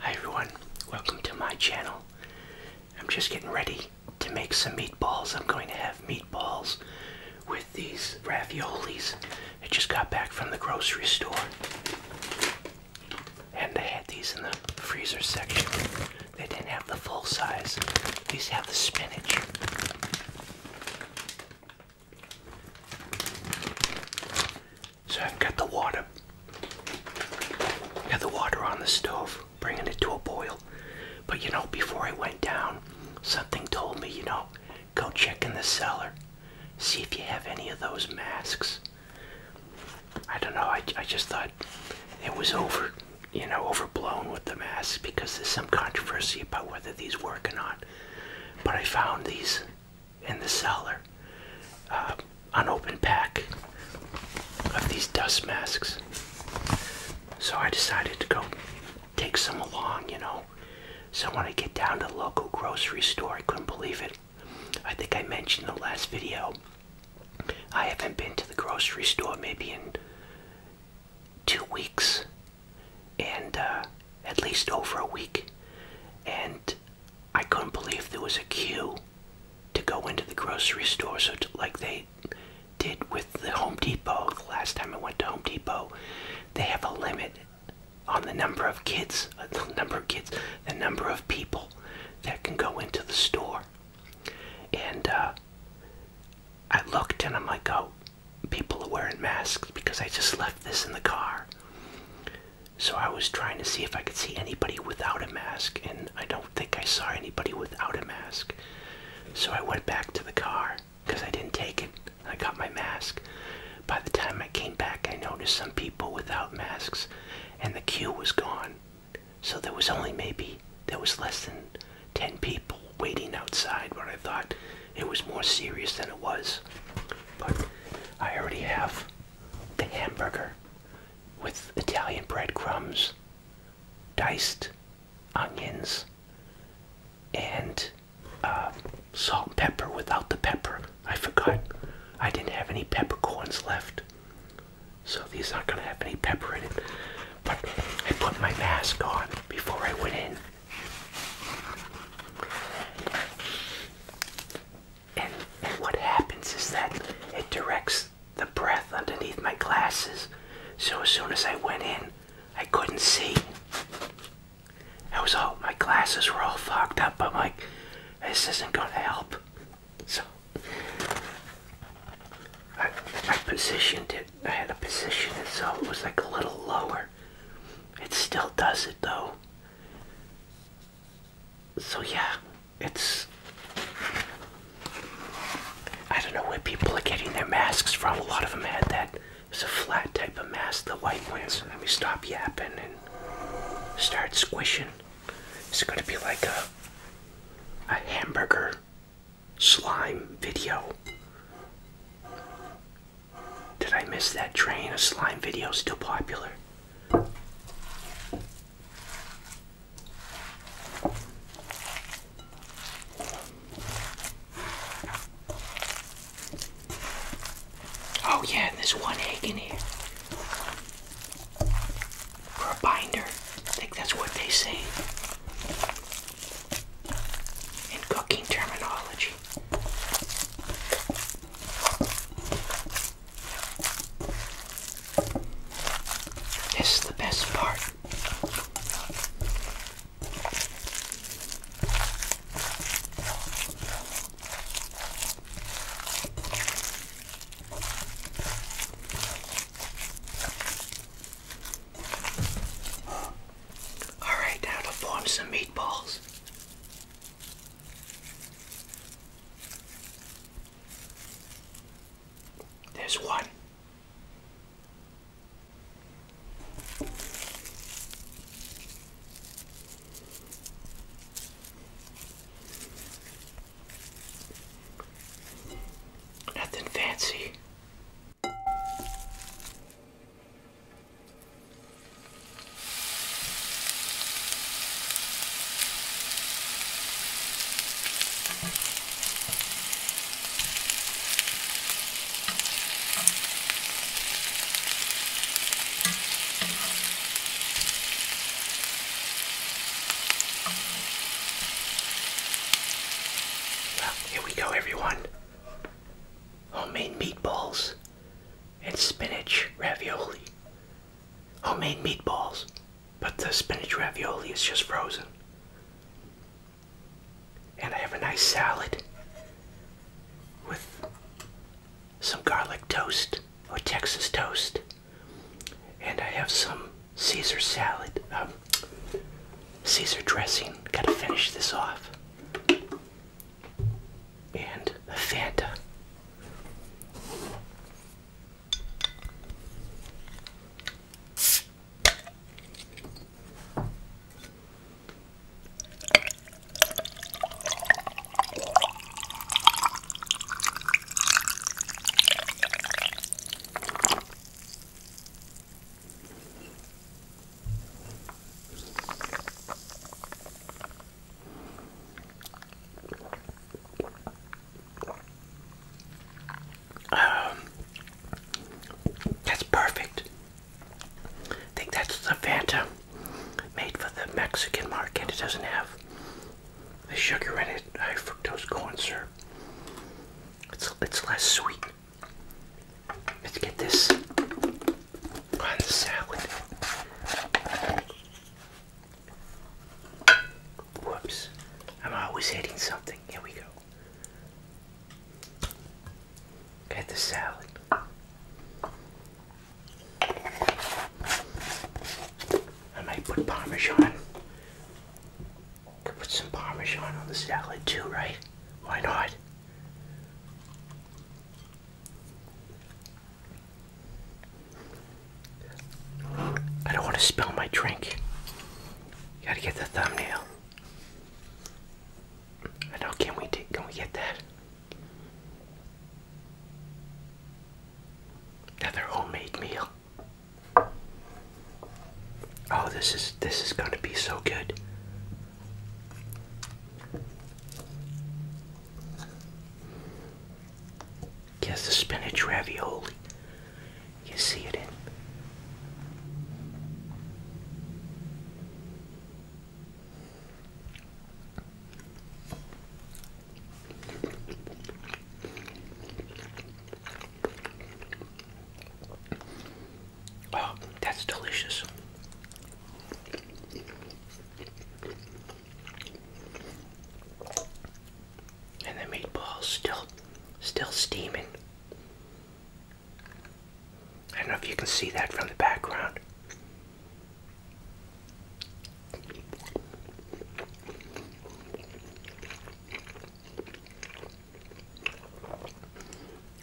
Hi everyone, welcome to my channel. I'm just getting ready to make some meatballs. I'm going to have meatballs with these raviolis. I just got back from the grocery store. And I had these in the freezer section. They didn't have the full size. These have the spinach. So I've got the water. Got the water on the stove, bringing it to a boil. But you know, before I went down, something told me, you know, go check in the cellar. See if you have any of those masks. I don't know, I, I just thought it was over, you know, overblown with the masks because there's some controversy about whether these work or not. But I found these in the cellar uh, an open pack of these dust masks. So I decided to go take some along, you know. So when I get down to the local grocery store, I couldn't believe it. I think I mentioned the last video, I haven't been to the grocery store maybe in two weeks and uh, at least over a week. And I couldn't believe there was a queue to go into the grocery store. So, like they did with the Home Depot the last time I went to Home Depot, they have a limit on the number of kids, uh, the number of kids, the number of people that can go into the store. And uh, I looked and I'm like, oh, people are wearing masks because I just left this in the car. So I was trying to see if I could see anybody without a mask, and I don't think I saw anybody without a mask. So I went back to the car because I didn't take it. I got my mask. By the time I came back, I noticed some people without masks, and the queue was gone. So there was only maybe, there was less than 10 people waiting outside, but I thought it was more serious than it was. But I already have the hamburger with Italian breadcrumbs, diced onions, and uh, salt and pepper without the pepper. I forgot. I didn't have any peppercorns left. So these aren't going to have any pepper in it. But I put my mask on before I went in and, what happens is that it directs the breath underneath my glasses. So as soon as I went in, I couldn't see. I was all, my glasses were all fucked up. I'm like, this isn't going to help. So I, I positioned it. I had to position it so it was like a little lower. It still does it though. So yeah, it's I don't know where people are getting their masks from. A lot of them had that. It's a flat type of mask, the white ones. Let me stop yapping and start squishing. It's gonna be like a a hamburger slime video. Did I miss that train of slime videos still popular? Oh yeah, there's one egg in here. For a binder. I think that's what they say. In cooking terminology. This is the best part. Alright, now to form some meatballs. There's one. Nothing fancy. Well, here we go, everyone homemade meatballs, and spinach ravioli. Homemade meatballs, but the spinach ravioli is just frozen. And I have a nice salad with some garlic toast or Texas toast. And I have some Caesar salad, um, Caesar dressing. Gotta finish this off and a Fanta. Um, that's perfect. I think that's the Fanta made for the Mexican market. It doesn't have the sugar in it, high fructose corn syrup. It's it's less sweet. Let's get this on the salad. Whoops. I'm always hitting something. Here we go. Get the salad. I might put Parmesan. Could put some Parmesan on the salad too, right? Why not? I don't want to spill my drink. Gotta get the thumbnail. I know. Can we take, Can we get that? Another homemade meal. Oh, this is this is gonna be so good. Guess the spinach ravioli. You see it in. Oh, that's delicious. And the meatballs still still steaming. I don't know if you can see that from the background.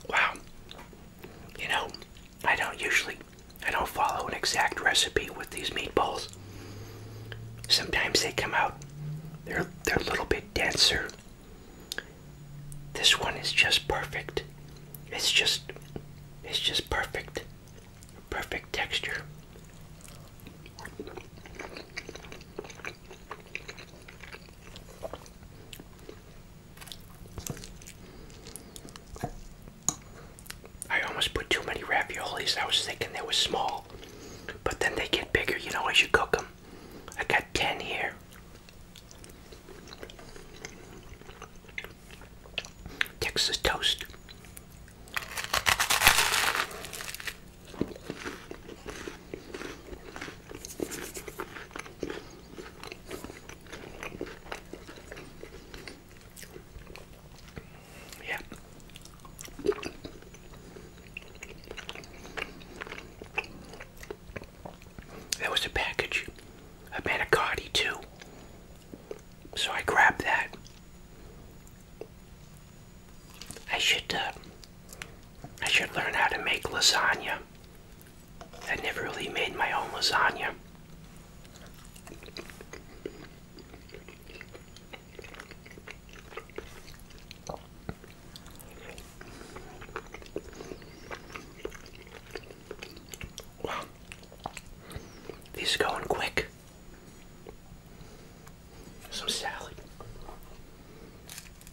Wow. You know, I don't usually I don't follow an exact recipe with these meatballs. Sometimes they come out they're they're a little bit denser. This one is just perfect. It's just it's just perfect. Perfect texture. I almost put too many raviolis. I was thinking they were small, but then they get bigger, you know, as you cook them. I got 10 here. Texas toast. Yeah. There was a package of manicotti too. So I grabbed that. I should uh, I should learn how to make lasagna. I never really made my own lasagna. Well, these are going quick. Some salad.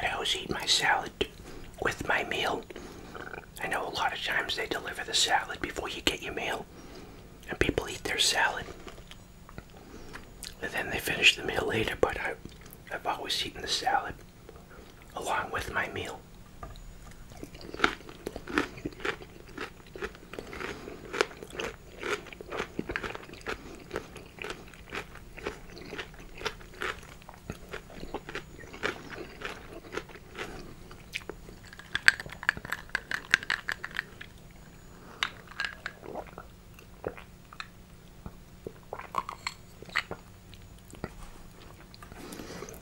I always eat my salad with my meal. I know a lot of times they deliver the salad before you get your meal, and people eat their salad. And then they finish the meal later, but I, I've always eaten the salad along with my meal.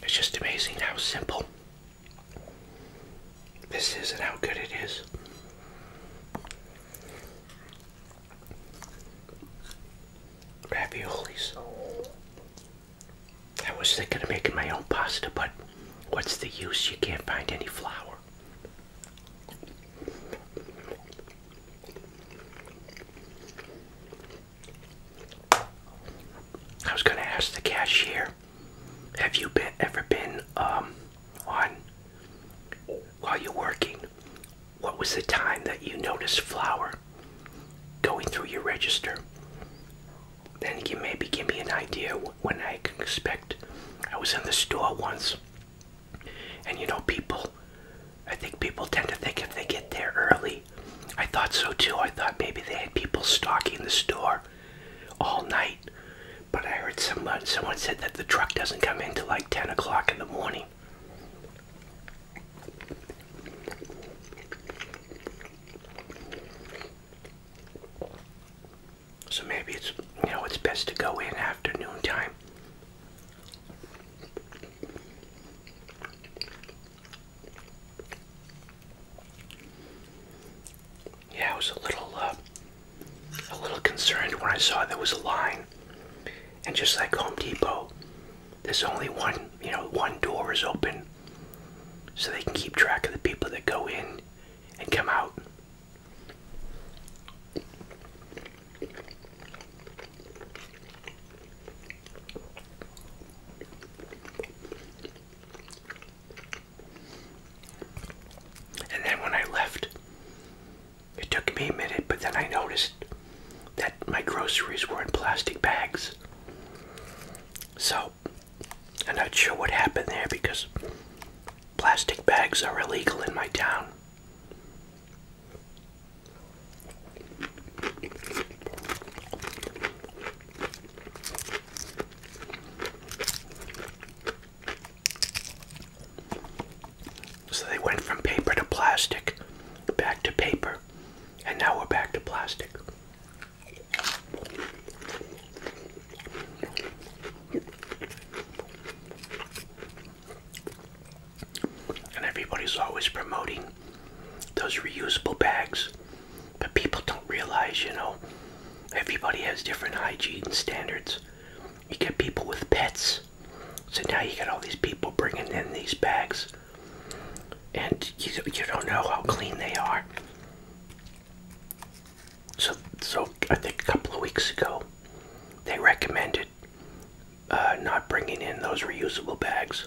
It's just amazing how simple this is and how good it is raviolis. I was thinking of making my own pasta, but what's the use? You can't find any flour. I was going to ask the cashier, have you been, ever been um, on while you're working, what was the time that you noticed flour going through your register? Then you maybe give me an idea when I can expect. I was in the store once, and you know, people, I think people tend to think if they get there early. I thought so too. I thought maybe they had people stocking the store all night but I heard someone someone said that the truck doesn't come in till like 10 o'clock in the morning. So maybe it's you know it's best to go in afternoon time. Yeah, I was a little uh, a little concerned when I saw there was a line. And just like Home Depot, there's only one, you know, one door is open so they can keep track of the people that go in and come out. And then when I left, it took me a minute, but then I noticed that my groceries were in plastic bags. So, I'm not sure what happened there because plastic bags are illegal in my town. So they went from paper to plastic, back to paper, and now we're back to plastic. And everybody's always promoting those reusable bags, but people don't realize, you know, everybody has different hygiene standards. You get people with pets. So now you get all these people bringing in these bags. And you, don't know how clean they are. So, so I think a couple of weeks ago, they recommended uh, not bringing in those reusable bags.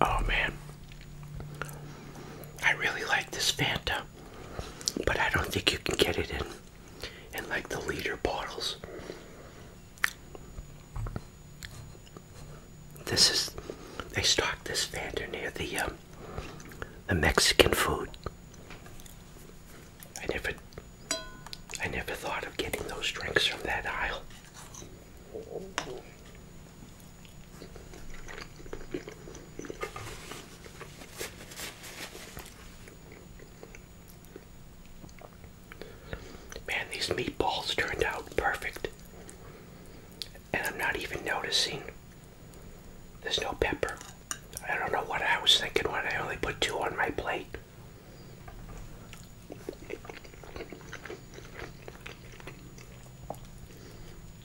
Oh man, I really like this Fanta, but I don't think you can get it in in like the liter bottles. This is they stocked this vendor near the um, the Mexican food. I never I never thought of getting those drinks from that aisle. Man, these meatballs turned out perfect. And I'm not even noticing. There's no pepper. I don't know what I was thinking when I only put two on my plate.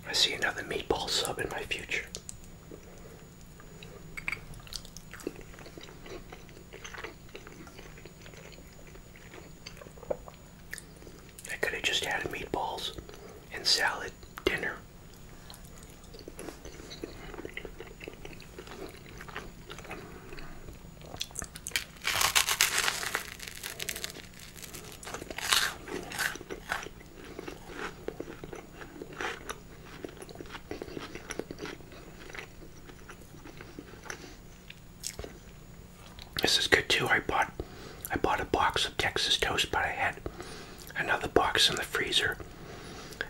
I see another meatball sub in my future. I could have just had meatballs and salad dinner. This is good too. I bought I bought a box of Texas toast, but I had another box in the freezer.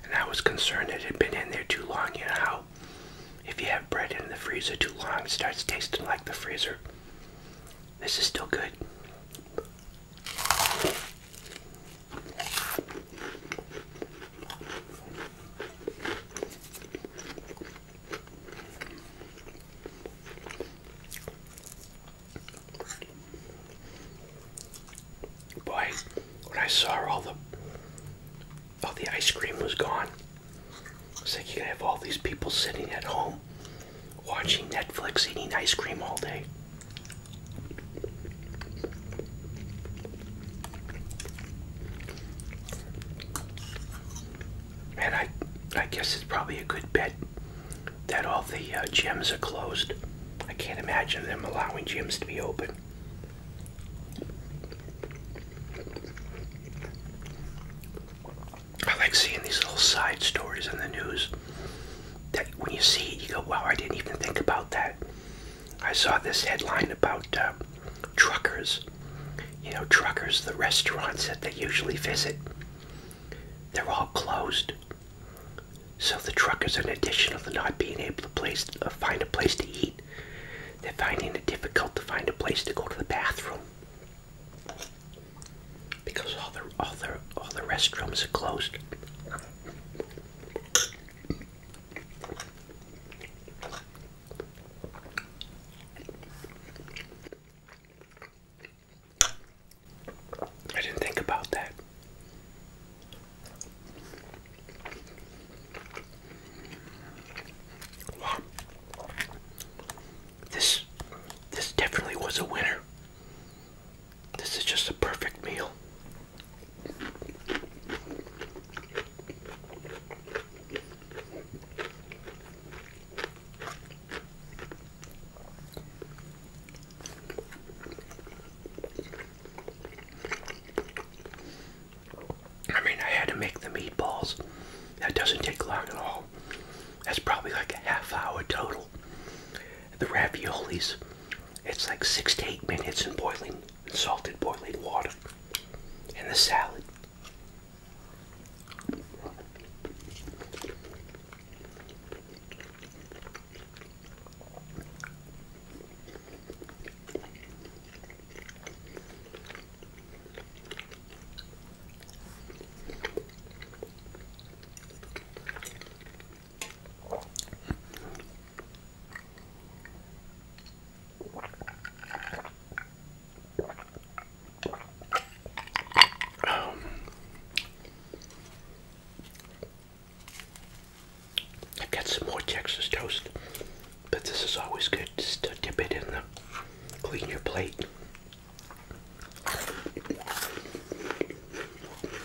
And I was concerned it had been in there too long, you know if you have bread in the freezer too long, it starts tasting like the freezer. This is still good. Boy, when I saw all the all the ice cream was gone, It's like, you have all these people sitting at home watching Netflix eating ice cream all day. And I, I guess it's probably a good bet that all the uh, gyms are closed. I can't imagine them allowing gyms to be open. I like seeing these little side stories in the news that when you see it, you go, wow, I didn't even think about that. I saw this headline about um, truckers. You know, truckers, the restaurants that they usually visit, they're all closed. So the truckers, in addition to not being able to uh, find a place to eat, they're finding it difficult to find a place to go to the bathroom because all the all the all the restrooms are closed. I didn't think about that. This this definitely was a winner. This is just a perfect meal. I mean, I had to make the meatballs. That doesn't take long at all. That's probably like a half hour total. The raviolis it's like six to eight minutes in boiling, salted boiling water. And the salad. I've got some more Texas toast, but this is always good just to dip it in the clean your plate.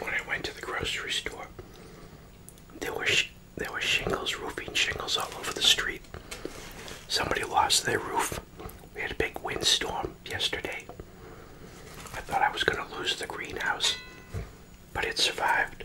when I went to the grocery store, there were there were shingles, roofing shingles all over the street. Somebody lost their roof. We had a big windstorm yesterday. I thought I was going to lose the greenhouse, but it survived.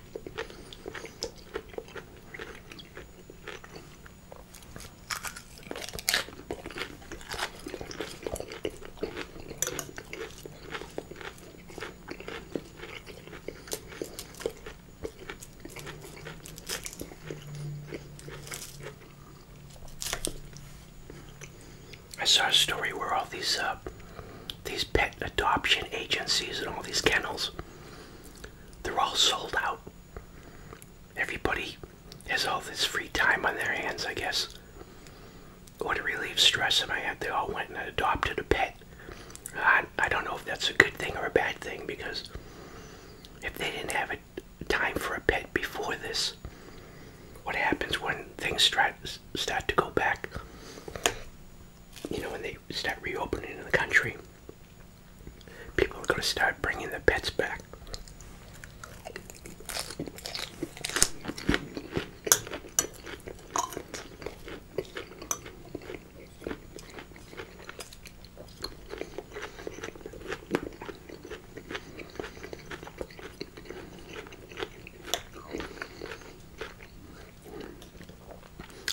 I saw a story where all these uh, these pet adoption agencies and all these kennels they're all sold out. Everybody has all this free time on their hands, I guess. Or to relieve stress in my head, they all went and adopted a pet. I, I don't know if that's a good thing or a bad thing because if they didn't have a time for a pet before this, what happens when things start, start to go back? You know, when they start reopening in the country, people are going to start bringing the pets back.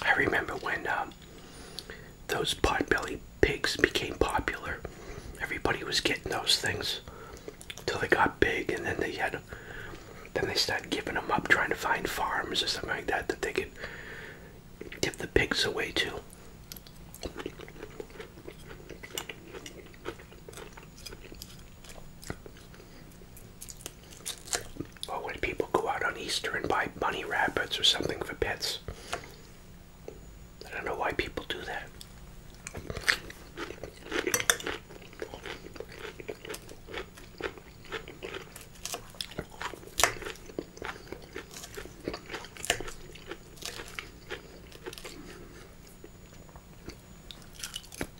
I remember when um, those potbelly pigs became popular. Everybody was getting those things until they got big, and then they had, then they started giving them up, trying to find farms or something like that that they could give the pigs away to. Or when people go out on Easter and buy bunny rabbits or something for pets. I don't know why people do that.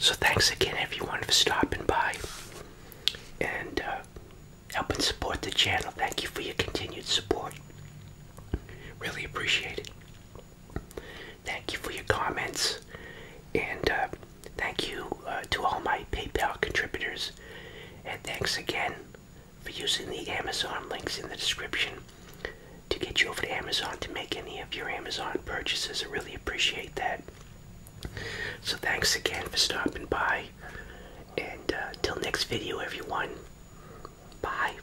So, thanks again, everyone, for stopping by and uh, helping support the channel. Thank you for your continued support. Really appreciate it. Thank you for your comments, and uh, thank you uh, to all my PayPal contributors. And thanks again for using the Amazon links in the description to get you over to Amazon to make any of your Amazon purchases. I really appreciate that. So thanks again for stopping by, and uh, till next video, everyone. Bye.